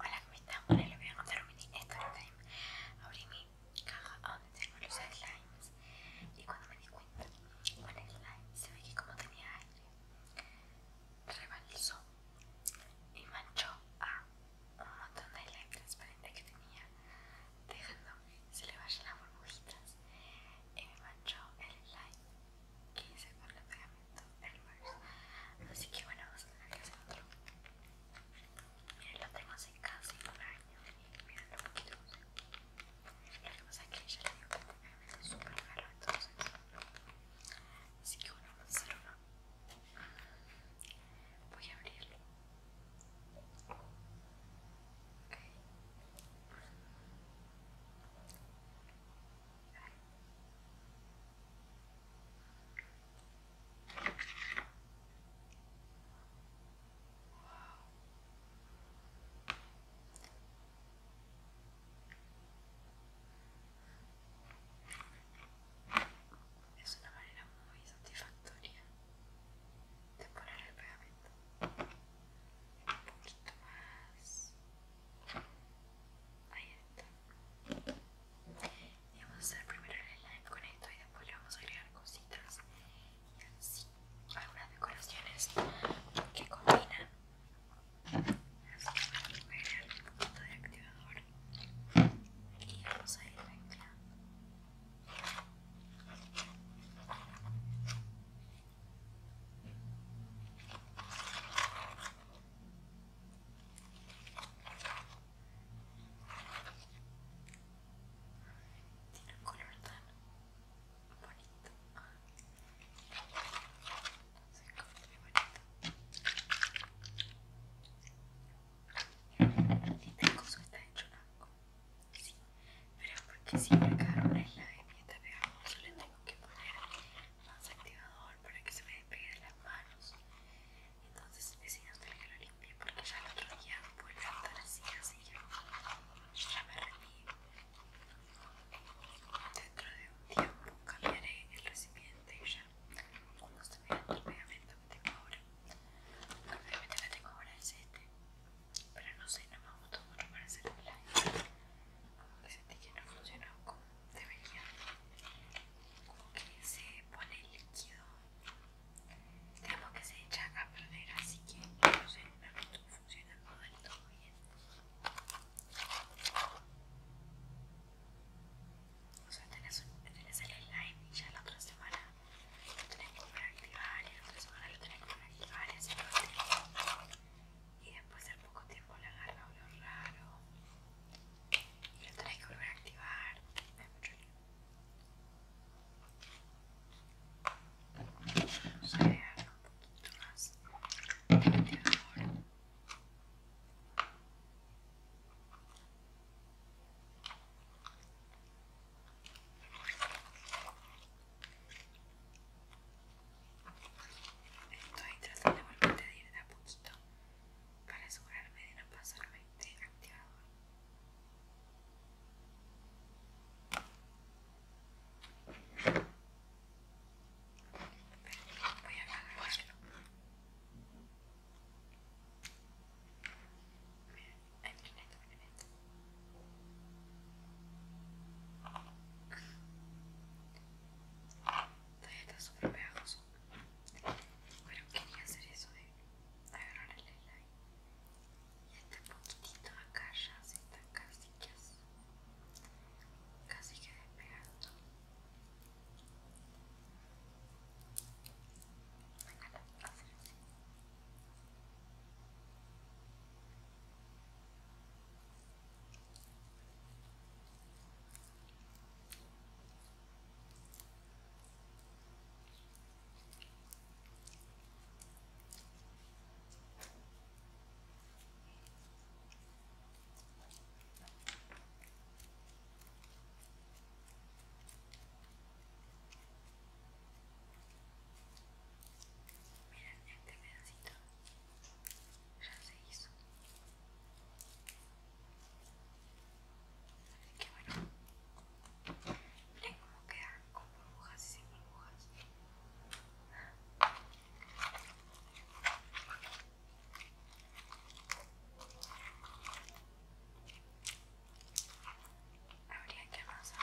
Hola, ¿cómo están? Bueno, les voy a contar un mini story time Abrí mi caja donde tengo los slimes y cuando me di cuenta, con el slime se ve que como tenía aire, rebalsó y manchó a un montón de slime transparente que tenía, dejando que se le vayan las burbujitas y me manchó el slime que hice con los pegamentos entonces, Así que bueno, vamos a hacer otro. Miren, lo tengo hace casi un año y miren lo es que entonces. Así que bueno, vamos a Voy a abrirlo. Es una manera muy satisfactoria de poner el pegamento un poquito más Ahí está. Y vamos a hacer primero el slime con esto y después le vamos a agregar cositas y así algunas decoraciones que combinan. Así que vamos a agregar un poquito de activador y vamos a ir mezclando. Tiene un color tan bonito. Se encuentra muy bonito. Este coso está hecho blanco. Sí, pero porque si me una es la de mi esta le tengo que poner más activador para que se me despegue de las manos. Entonces decido que lo limpie porque ya el otro día vuelve a estar así, así que ya me retiro. Dentro de un tiempo cambiaré el recipiente y ya cuando se mirando el pegamento que tengo ahora. El pegamento que tengo ahora es este, pero no sé, no vamos a mucho para hacer el live no funciona como como que se pone líquido tenemos que se echa a perder así que no sé no funciona funcionando todo bien o sea tenés, el slime y ya la otra semana lo tenés que reactivar, y la otra semana lo tenés que reactivar y y después al poco tiempo la agarra olor raro y lo tenéis que volver a activar. Es mucho lío. Vamos a agregarle un poquito más de bateador. esto tratando de volver a ir de a punto para asegurarme de no pasarme de activador. voy a acabar. Miren, hay un neto, un Todavía está súper pegajoso. Bueno, quería hacer eso de agarrar el elay. y este poquitito acá ya se está casi que casi que despegando. Mira este pedacito ya se hizo. Qué bueno. Miren cómo queda con burbujas y sin burbujas. Habría que avanzar.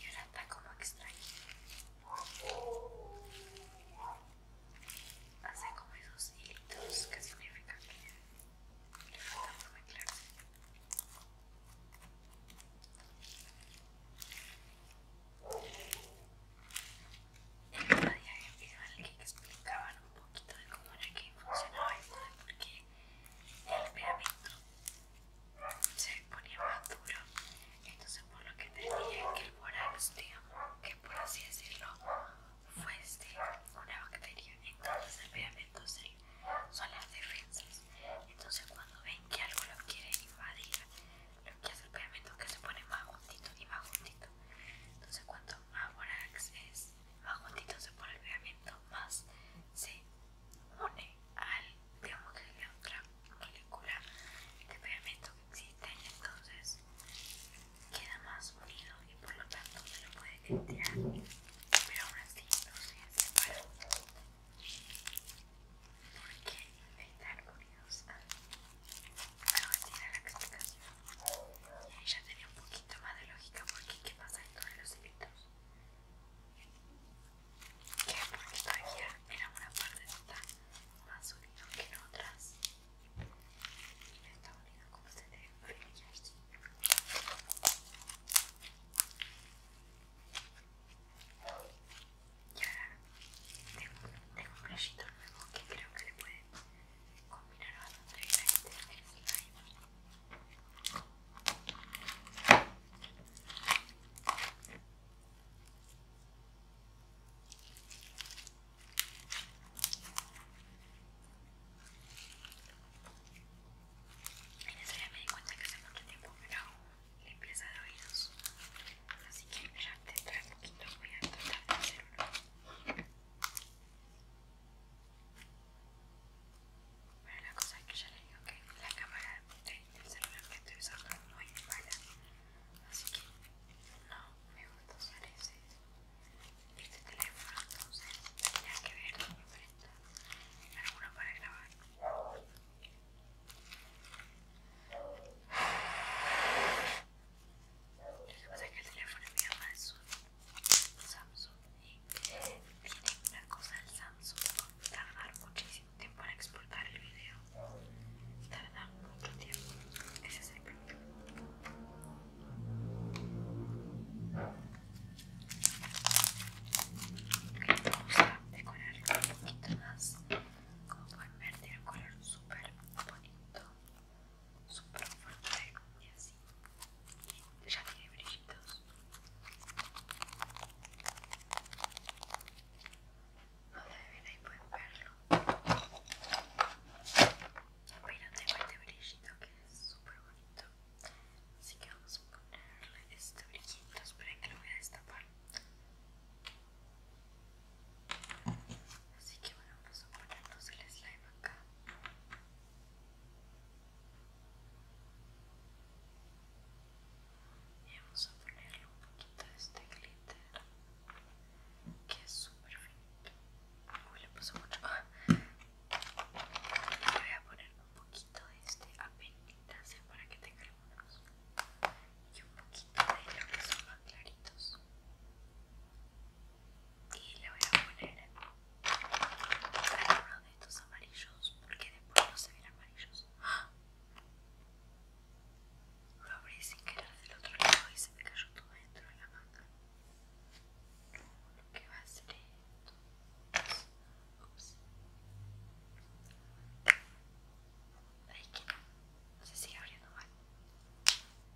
Y ahora está como extraño. Hace como esos hilitos que significa que le falta muy claro en el que explicaban un poquito de cómo era que funcionaba esto de el pegamento se ponía más duro entonces por lo que tenían que el borax digamos que por así decirlo fuese una bacteria entonces el pegamento son las defensas entonces cuando ven que algo lo quiere invadir lo que hace el pegamento es que se pone más juntito y más juntito entonces cuando borax es más se pone el pegamento, más se une al digamos la otra molécula de pegamento que existe entonces queda más unido y por lo tanto se lo puede quitar pero aún así no se separa porque estar unidos a, a la explicación ya tenía un poquito más de lógica porque ¿qué pasa en todos los eventos? Que porque todavía era una está más unida que en otras. Y está unida como se ve así. Y ahora tengo, un playito nuevo que creo que le puede combinar bastante bien este slime. En eso ya me di cuenta que hace mucho tiempo que no hago limpieza de oídos. Así que ya dentro de poquito voy a tratar de hacer uno. Bueno, la cosa es que ya les digo que la cámara del celular que estoy usando es muy mala, así que no me gusta usar ese este teléfono, entonces tenía que ver diferente alguno para grabar pasa es que el teléfono mi mamá es un Samsung y tiene una cosa del Samsung tarda tardar muchísimo tiempo en exportar el video. Tarda mucho tiempo. Ese es el problema. Vamos a decorar un poquito más. Como pueden ver, tiene un color súper bonito super fuerte y así ya tiene brillitos no ven ahí pueden verlo pero tengo este brillito que es super bonito así que vamos a ponerle este brillito esperen que lo voy a destapar así que bueno vamos a ponernos el slime acá y vamos a ponerle un poquito de este glitter que es súper finito. Uy, le puso mucho. Ah. voy a poner un poquito de este apenitas para que tenga unos Y un poquito de lo que son más claritos y le voy a poner alguno de estos amarillos porque después no se ven amarillos lo abrí sin querer del otro lado y se me cayó todo dentro de la manga lo que va a hacer esto es... Ay, que no, no se sigue abriendo mal.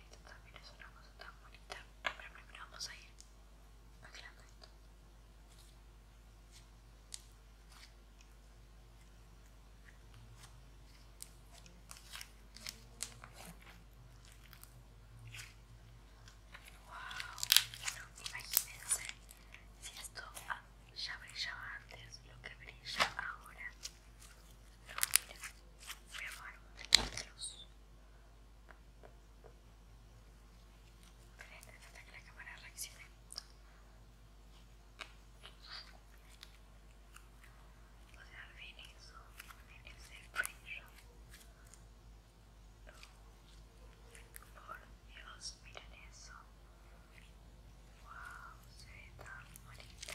Esto también es una cosa tan bonita. Pero primero vamos a ir aclarando esto. Wow, imagínense si esto ah, ya brillaba antes, lo que brilla ahora. No, mira, voy a poner un de Falta que la cámara reaccione. O sea, ven eso. miren ese frío. Por Dios, miren eso. Wow, se ve tan bonita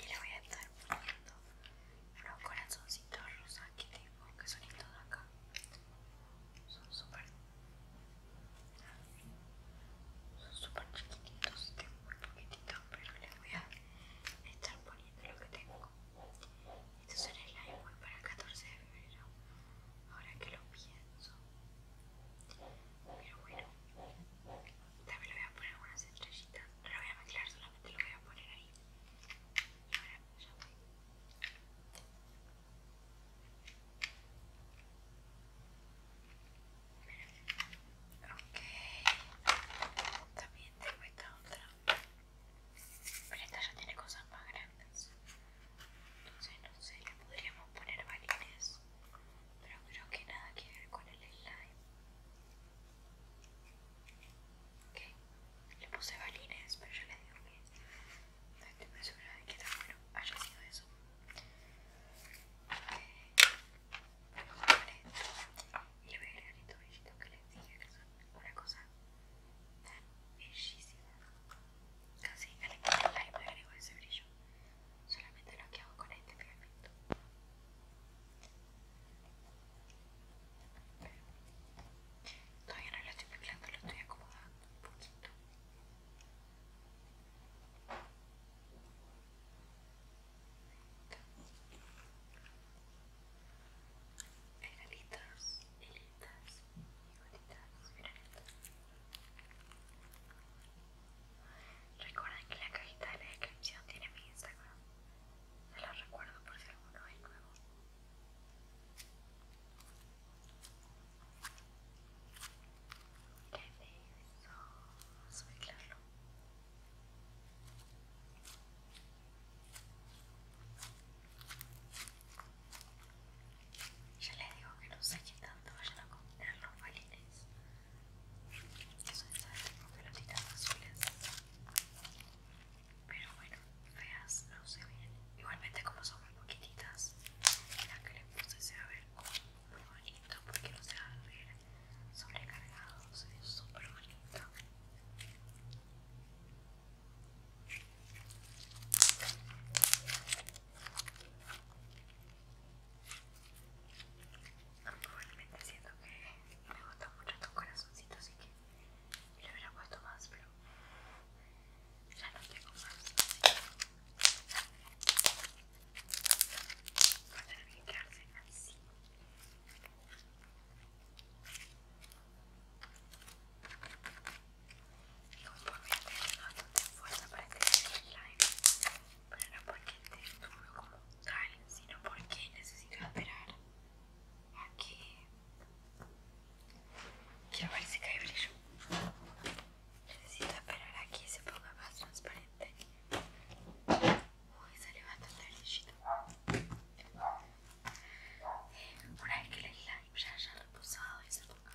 y le voy a estar poniendo unos corazoncitos rosas que tengo, que son estos de acá. Son súper son súper chiquititos, tengo muy poquititos, pero le voy a estar poniendo lo que tengo. estos son el live para el 14 de febrero. Ahora que lo pienso. Pero bueno, también le voy a poner unas estrellitas. No la voy a mezclar, solamente lo voy a poner ahí. ahora ya voy. Ok, también tengo esta otra, pero esta ya tiene cosas más grandes, entonces no sé, le podríamos poner balines pero creo que nada que ver con el slime. Ok, le puse balines, pero ya les digo que no estoy muy segura de que tan bueno haya sido eso. me a poner dentro y le voy a agregar que les dije que son una cosa tan bellísima. Casi al equipo slime le agrego ese brillo solamente lo que hago con este pegamento todavía no lo estoy mezclando, lo estoy acomodando un poquito hay galitas, hilitas y gotitas, miren Recuerden que la cajita de la descripción tiene mi Instagram. Se los recuerdo por si alguno es nuevo. Mira eso. Vamos a mezclarlo. Ya les digo que no sé qué tanto vayan a los Eso es como pelotitas azules. Pero bueno, feas no se ven. Igualmente como son muy poquititas, la que le puse se va a ver bonito porque no se va a ver sobrecargado. Se ve súper bonito. Probablemente siento que me gustan mucho estos corazoncitos, así que le hubiera puesto más, pero ya no tengo más. Va a tener que quedarse así. Y como por mí, tengo de fuerza para este live pero no porque el texto como tal, sino porque necesito esperar a que, que hay el brillo. Necesito esperar a que se ponga más transparente. Uy, salió el brillo eh, Una vez que la slime ya haya reposado y se ponga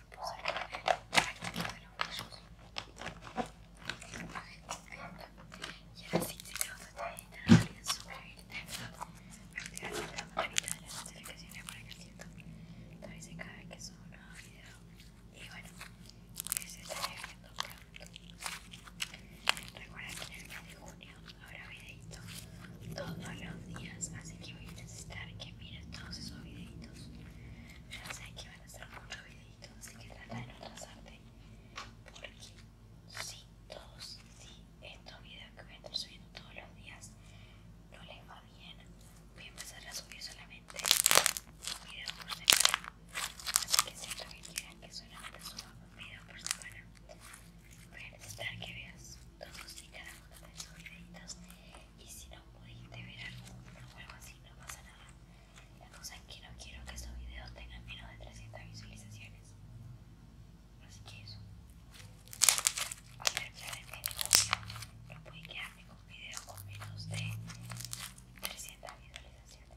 reposar en la práctica de los gallos. Y ahora sí, si te vas a tener que suscribirte, activar la campanita de las notificaciones para que siento te avise cada vez que subo un nuevo video. Y bueno, que se estaré viendo pronto. Recuerda que en el mes de junio habrá videitos todos los días, así que voy a necesitar que mires todos esos videitos. Ya sé que van va a hacer videitos, así que trata de no atrasarte. Porque si todos, si estos videos que voy a estar subiendo todos los días no les va bien, voy a empezar a subir solamente un video por semana. Así que si es lo que quieran que solamente suba un video por semana, voy a necesitar que veas todos y cada uno de esos videitos y si no pudiste ver algo, o algo así no pasa nada la cosa es que no quiero que esos videos tengan menos de 300 visualizaciones así que eso a ver no pude quedarme con videos con menos de 300 visualizaciones